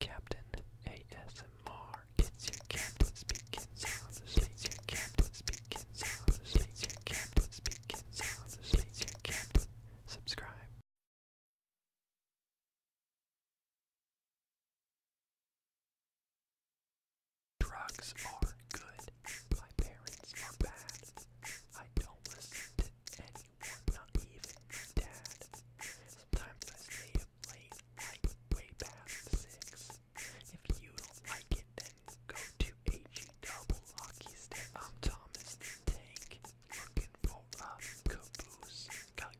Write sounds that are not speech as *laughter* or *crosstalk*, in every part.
Captain ASMR. It's your captain speaking sounds. It's your sounds. It's your sounds. It's your captain. Subscribe. Drugs are good. My parents are bad. I don't listen to anyone, not even my if you don't like it, then go to HE double hockey stick. I'm Thomas the uh,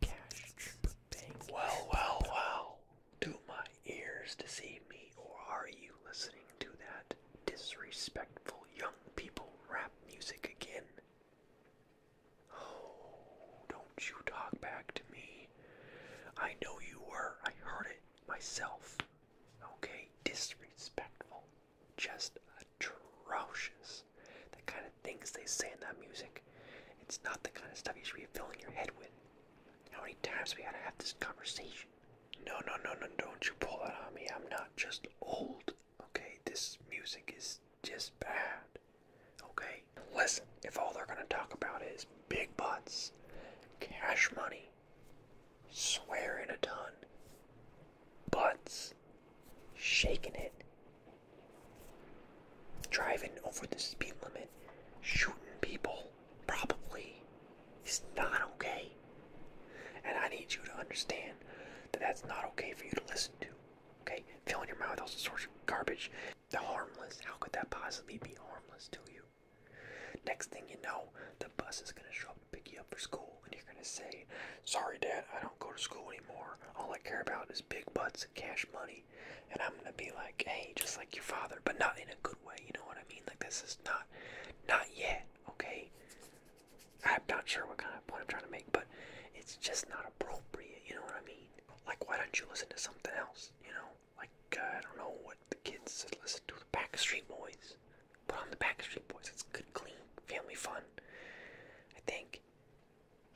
Well, well, well. Do my ears deceive me, or are you listening to that disrespectful young people rap music again? Oh, don't you talk back to me. I know you were. I heard it myself. Okay, disrespectful. Just atrocious. The kind of things they say in that music. It's not the kind of stuff you should be filling your head with. How many times we gotta have this conversation? No, no, no, no, don't you pull that on me. I'm not just old. Okay, this music is just bad. Okay? Listen, if all they're going to talk about is big butts, cash money, swearing a ton, butts, shaking it, driving over the speed limit, shooting people, probably, is not okay. And I need you to understand that that's not okay for you to listen to. Okay, filling your mouth with all sorts of garbage. The harmless. How could that possibly be harmless to you? Next thing you know, the bus is gonna show up to pick you up for school, and you're gonna say, "Sorry, Dad, I don't go to school anymore. All I care about is big butts and cash money." And I'm gonna be like, "Hey, just like your father, but not in a good way. You know what I mean? Like this is not, not yet. Okay." I'm not sure what kind of point I'm trying to make, but it's just not appropriate. You know what I mean? like why don't you listen to something else? You know, like uh, I don't know what the kids said. listen to the Backstreet Boys. Put on the Backstreet Boys. It's good, clean, family fun. I think.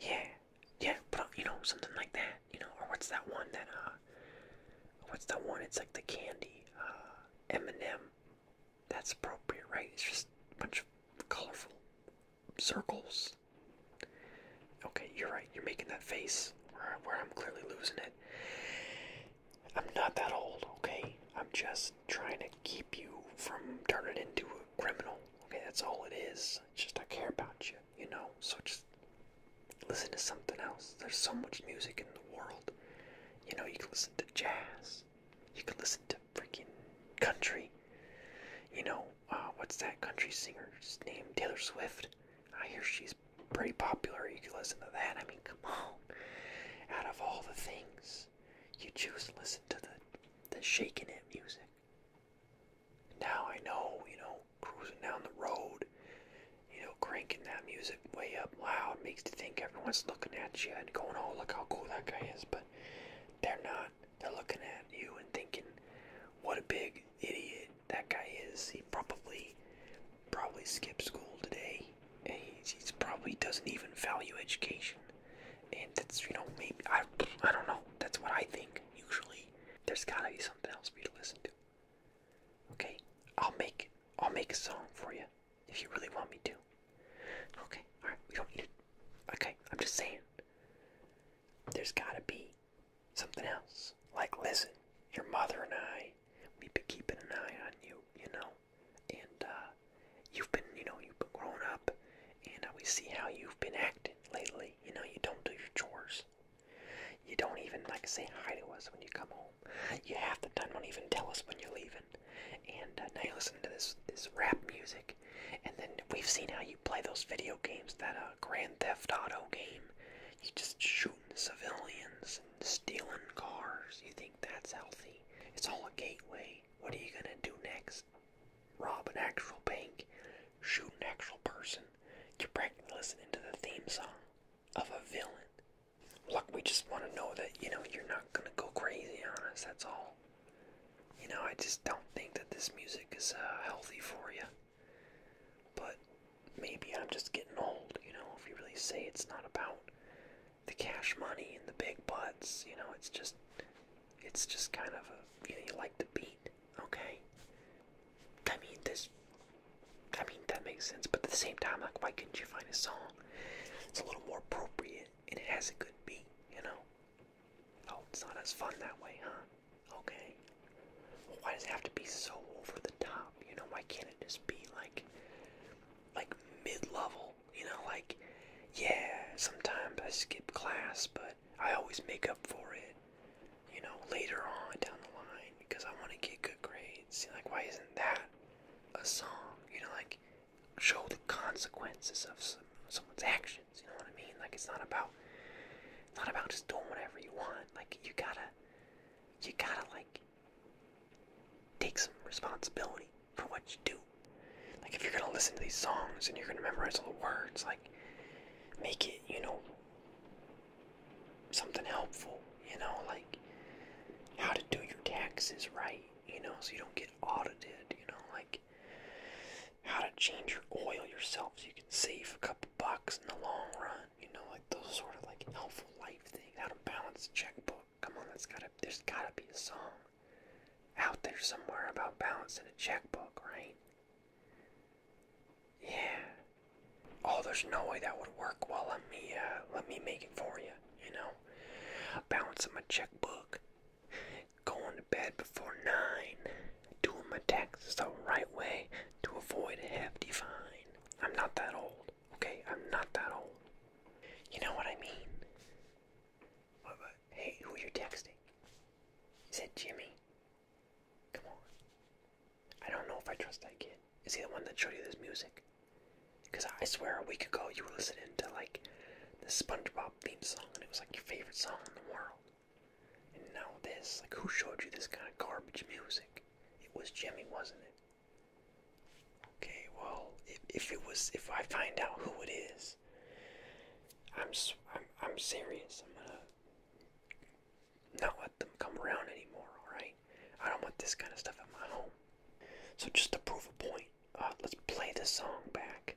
Yeah, yeah. Put on you know something like that. You know, or what's that one that uh, what's that one? It's like the candy uh, M&M. That's appropriate, right? It's just a bunch of colorful circles. Okay, you're right. You're making that face where, where I'm clearly losing it. I'm not that old, okay? I'm just trying to keep you from turning into a criminal. Okay, that's all It's just I care about you, you know? So just listen to something else. There's so much music in the world. You know, you can listen to jazz. You can listen to freaking country. You know, uh, what's that country singer's name? Taylor Swift. I hear she's pretty popular. You can listen to that. I mean, come on. Out of all the things, you choose to listen to the the shaking it music. Now I know, you know, cruising down the road, you know, cranking that music way up loud makes you think everyone's looking at you and going, "Oh, look how cool that guy is," but they're not. They're looking at you and thinking, what a big idiot that guy is. He probably probably skipped school today. he, probably doesn't even value education. And that's, you know, maybe, I, I don't know. That's what I think, usually. There's gotta be something else for you to listen to. Okay? I'll make, I'll make a song for you. If you really want me to. Okay, alright, we don't need it. Okay, I'm just saying there's gotta be something else. Like, listen, your mother and I, we've been keeping an eye on you, you know, and uh, you've been, you know, you've been growing up, and we see how you've been acting lately. You know, you don't do your chores. You don't even like say hi to us when you come home. You half the time don't even tell us when you're leaving. And uh, now you listen to this this rap music, and then we've seen how you play those video games, that uh, Grand Theft Auto game. You just shooting civilians and stealing cars. You think that's healthy? It's all a gateway. What are you gonna do next? Rob an actual bank, shoot an actual person. You're practically listening to the theme song of a villain. Look, we just want to know that you know you're not gonna go crazy on us. That's all. You know, I just don't think that this music is uh, healthy for you. But maybe I'm just getting old, you know, if you really say it's not about the cash money and the big butts, you know, it's just it's just kind of a you know, you like the beat, okay? I mean this I mean that makes sense, but at the same time, like why couldn't you find a song? It's a little more appropriate it has a good beat, you know? Oh, it's not as fun that way, huh? Okay. why does it have to be so over the top? You know, why can't it just be like, like mid-level? You know, like, yeah, sometimes I skip class, but I always make up for it. You know, later on down the line because I want to get good grades. Like, why isn't that a song? You know, like show the consequences of someone's action. You know what I mean? Like it's not about, it's not about just doing whatever you want. Like you gotta, you gotta like take some responsibility for what you do. Like if you're gonna listen to these songs and you're gonna memorize all the words, like make it, you know, something helpful. You know, like how to do your taxes right. You know, so you don't get audited. You know, like how to change your oil yourself so you can save a couple bucks in the long run. You know, like those sort of like helpful life things. How to balance a checkbook. Come on, that's gotta. There's gotta be a song out there somewhere about balancing a checkbook, right? Yeah. Oh, there's no way that would work. Well, let me uh, let me make it for you. You know, balance my checkbook going to bed before 9, doing my taxes the right way to avoid a hefty fine. I'm not that old, okay? I'm not that old. You know what I mean? What hey, who are you texting? Is it Jimmy? Come on. I don't know if I trust that kid. Is he the one that showed you this music? Because I swear a week ago you were listening to like the SpongeBob theme song and it was like your favorite song in the world. And now this, like who showed you this kind of garbage music? It was Jimmy, wasn't it? Okay, well, if, if it was, if I find out who it is, I'm, I'm, I'm serious. I'm gonna not let them come around anymore. All right, I don't want this kind of stuff in my home. So just to prove a point, uh, let's play this song back.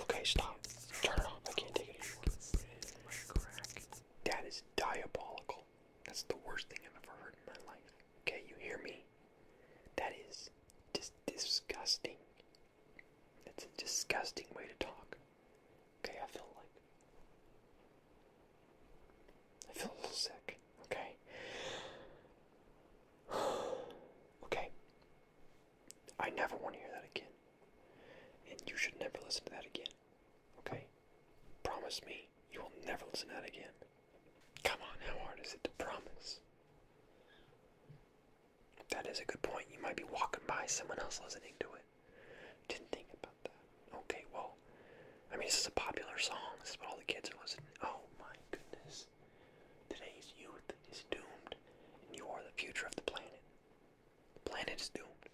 Okay, stop. Turn it off. I can't take it anymore. That is diabolical. That's the worst thing I've ever heard in my life. Okay, you hear me? That is just disgusting. That's a disgusting way to talk. Okay, I feel like I feel sick. Okay. *sighs* *sighs* Okay? I never want to hear that again. And you should never listen to that again. Okay? Promise me you will never listen to that again. Come on, how hard is it to promise? That is a good point. You might be walking by someone else listening to it. Didn't think about that. Okay, well, I mean, this is a popular song. This is what all the kids are listening. Oh my goodness. Today's youth is doomed, and you are the future of the planet. The planet is doomed.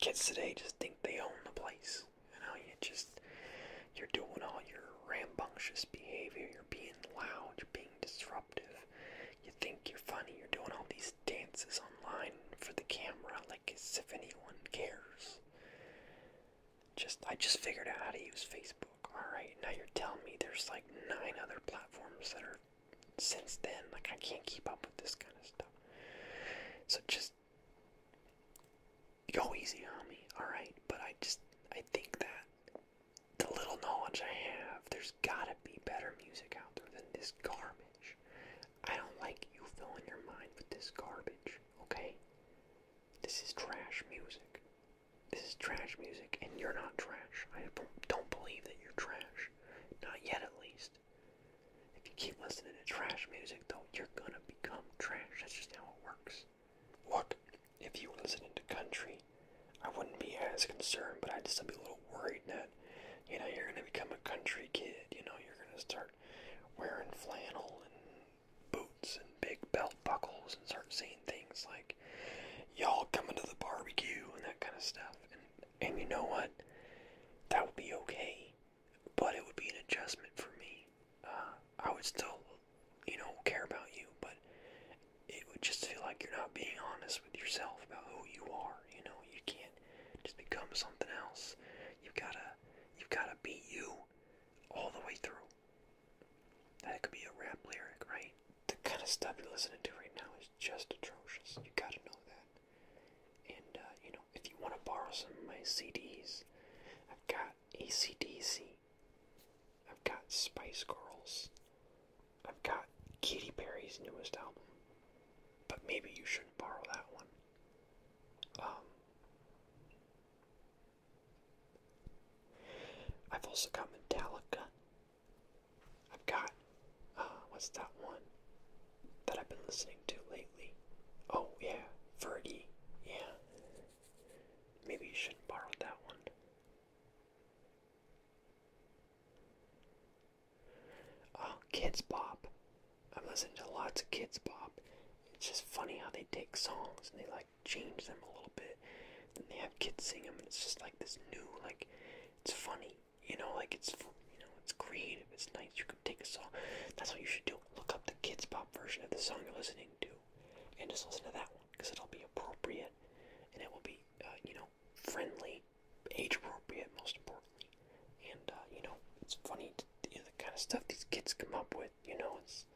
Kids today just think they own the place. You know, you just, you're doing all your rambunctious behavior, you're being loud, you're being disruptive, you think you're funny, you're doing all these dances online for the camera like as if anyone cares. Just I just figured out how to use Facebook. Alright, now you're telling me there's like nine other platforms that are since then. Like I can't keep up with this kind of stuff. So just go easy on me, alright? But I just I think that the little knowledge I have, there's gotta be better music out there than this garbage. I don't like you filling your mind with this garbage, okay? This is trash music. This is trash music, and you're not trash. I don't believe that you're trash. Not yet, at least. If you keep listening to trash music, though, you're gonna become trash. That's just how it works. Look, if you were listening to country, I wouldn't be as concerned, but I'd just be a little worried that, you know, you're gonna become a country kid. You know, you're gonna start wearing flannel and boots and big belt buckles and start saying things like, y'all coming to the barbecue and that kind of stuff. And, and you know what? That would be okay, but it would be an adjustment for me. Uh, I would still, you know, care about you, but it would just feel like you're not being honest with yourself about who you are. You know, you can't just become something else. You gotta, you gotta be you all the way through. That could be a rap lyric, right? The kind of stuff you're listening to right now is just atrocious. You gotta know that. And, uh, you know, if you want to borrow some of my CDs, I've got ACDC, I've got Spice Girls, I've got Katy Perry's newest album. But maybe you shouldn't borrow that one. Um, I've also got Metallica. I've got, uh, what's that one that I've been listening to lately? Oh, yeah, Verdi. Yeah. Maybe you shouldn't borrow that one. Oh, Kids Bop. I'm listening to lots of Kids Bop. It's just funny how they take songs and they like like change them a little bit. Then they have kids sing them, and it's just like this new, like it's funny, you know, like it's you know it's creative, it's nice. You could take a song. That's what you should do. Look up the kids pop version of the song you're listening to, and just listen to that one because it'll be appropriate, and it will be uh, you know friendly, age appropriate, most importantly, and uh, you know it's funny to, you know, the kind of stuff these kids come up with. You know, it's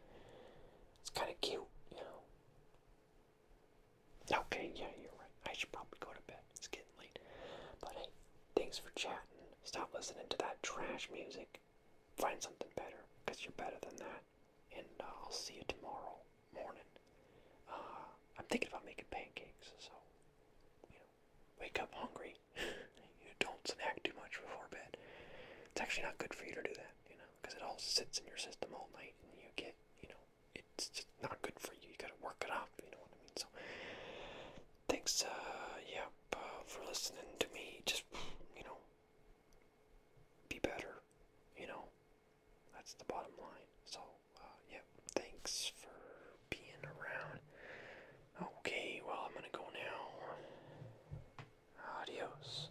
it's kind of cute, you know. Okay, yeah, you're right. I should probably go to bed. It's getting late. But hey, thanks for chatting. Stop listening to that trash music. Find something better, because you're better than that. And uh, I'll see you tomorrow morning. Uh, I'm thinking about making pancakes, so, you know, wake up hungry. *laughs* you don't snack too much before bed. It's actually not good for you to do that, you know because it all sits in your system all night and you get, you know, it's just not good for you. You gotta work it off, you know what I mean? So, thanks, uh, yep, uh, for listening to me. Just, you know, be better, you know, that's the bottom line. So, uh, yep, thanks for being around. Okay, well, I'm gonna go now. Adios.